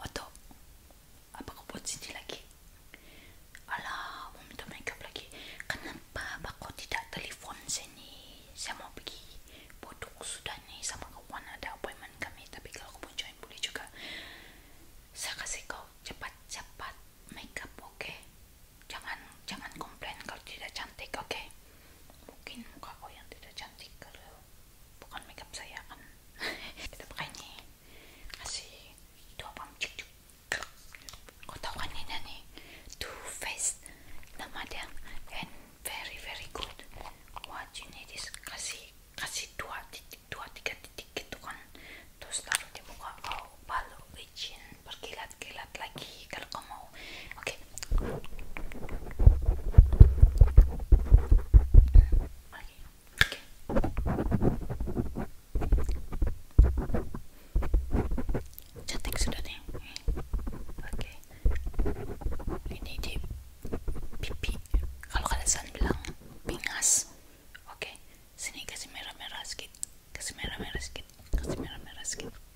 Atau apa kau buat sini lagi? ala mau minta makeup lagi. Kenapa kau tidak telepon sini? Saya mau pergi. Bodoh sudah nih sama kawan ada appointment kami. Tapi kalau kau mau join boleh juga. Saya kasih kau cepat-cepat makeup, oke? Jangan jangan komplain kalau tidak cantik, oke? Mungkin muka kau yang tidak cantik kalau bukan makeup saya kan kita pakai ini kasih dua pump cuk cuk kau tahu kan ini nih two face nama dia and very very good what you need is kasih kasih dua titik dua tiga titik gitu kan terus taruh di muka kau balu licin berkilat kilat lagi kalau kau mau oke Cantik sudah nih. Oke. Ini di pipi. Kalau kalian bilang pingas. Oke. Sini kasih merah-merah sedikit. Kasih merah-merah sedikit. Kasih merah-merah sedikit.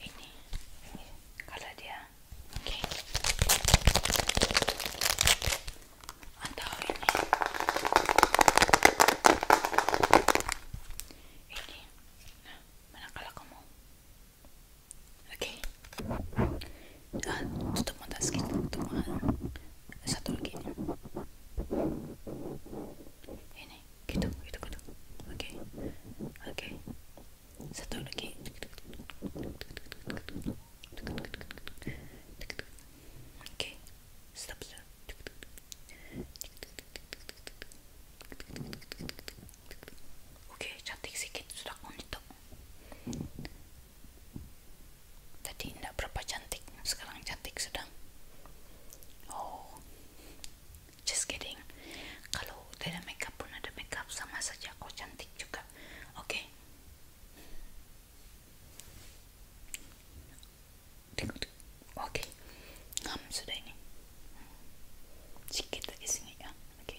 ini, ini kalau dia oke atau ini ini nah mana kalau kamu oke ah, tutup mata sedikit tutup satu lagi ini gitu gitu gitu oke oke satu lagi oke okay. stop stop Oke, okay, cantik sedikit sudah untuk Tadi tidak berapa cantik, sekarang cantik sedang. Oh, just kidding kalau tidak makeup pun ada makeup sama saja kok cantik juga oke okay. oke okay. um, sudah ini sedikit lagi sini ya oke okay.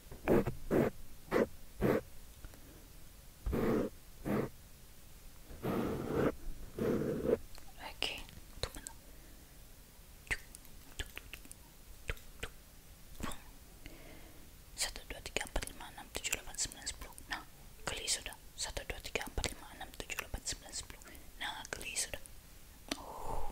Ok, tout maintenant. Satu dua tiga empat lima enam tujuh delapan sembilan sepuluh. Nah, geli sudah. Satu dua tiga empat lima enam tujuh delapan sembilan sepuluh. Nah, geli sudah. Oh,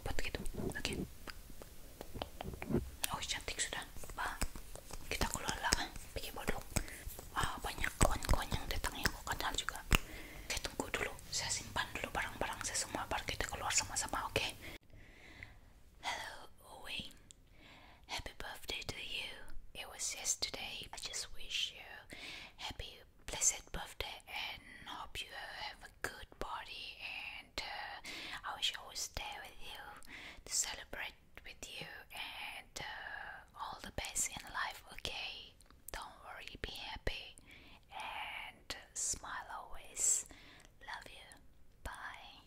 buat gitu oke oh cantik sudah bah kita keluar lah bikin bodoh wah banyak koin-koin yang datang yang aku kenal juga oke tunggu dulu saya simpan dulu barang-barang saya semua baru kita keluar sama-sama oke okay? hello Owen Happy birthday to you. It was yesterday. I just wish you happy, blessed birthday and hope you have a good party. And uh, I wish I was there with you to celebrate with you and uh, all the best in life, okay? Don't worry, be happy and smile always. Love you. Bye.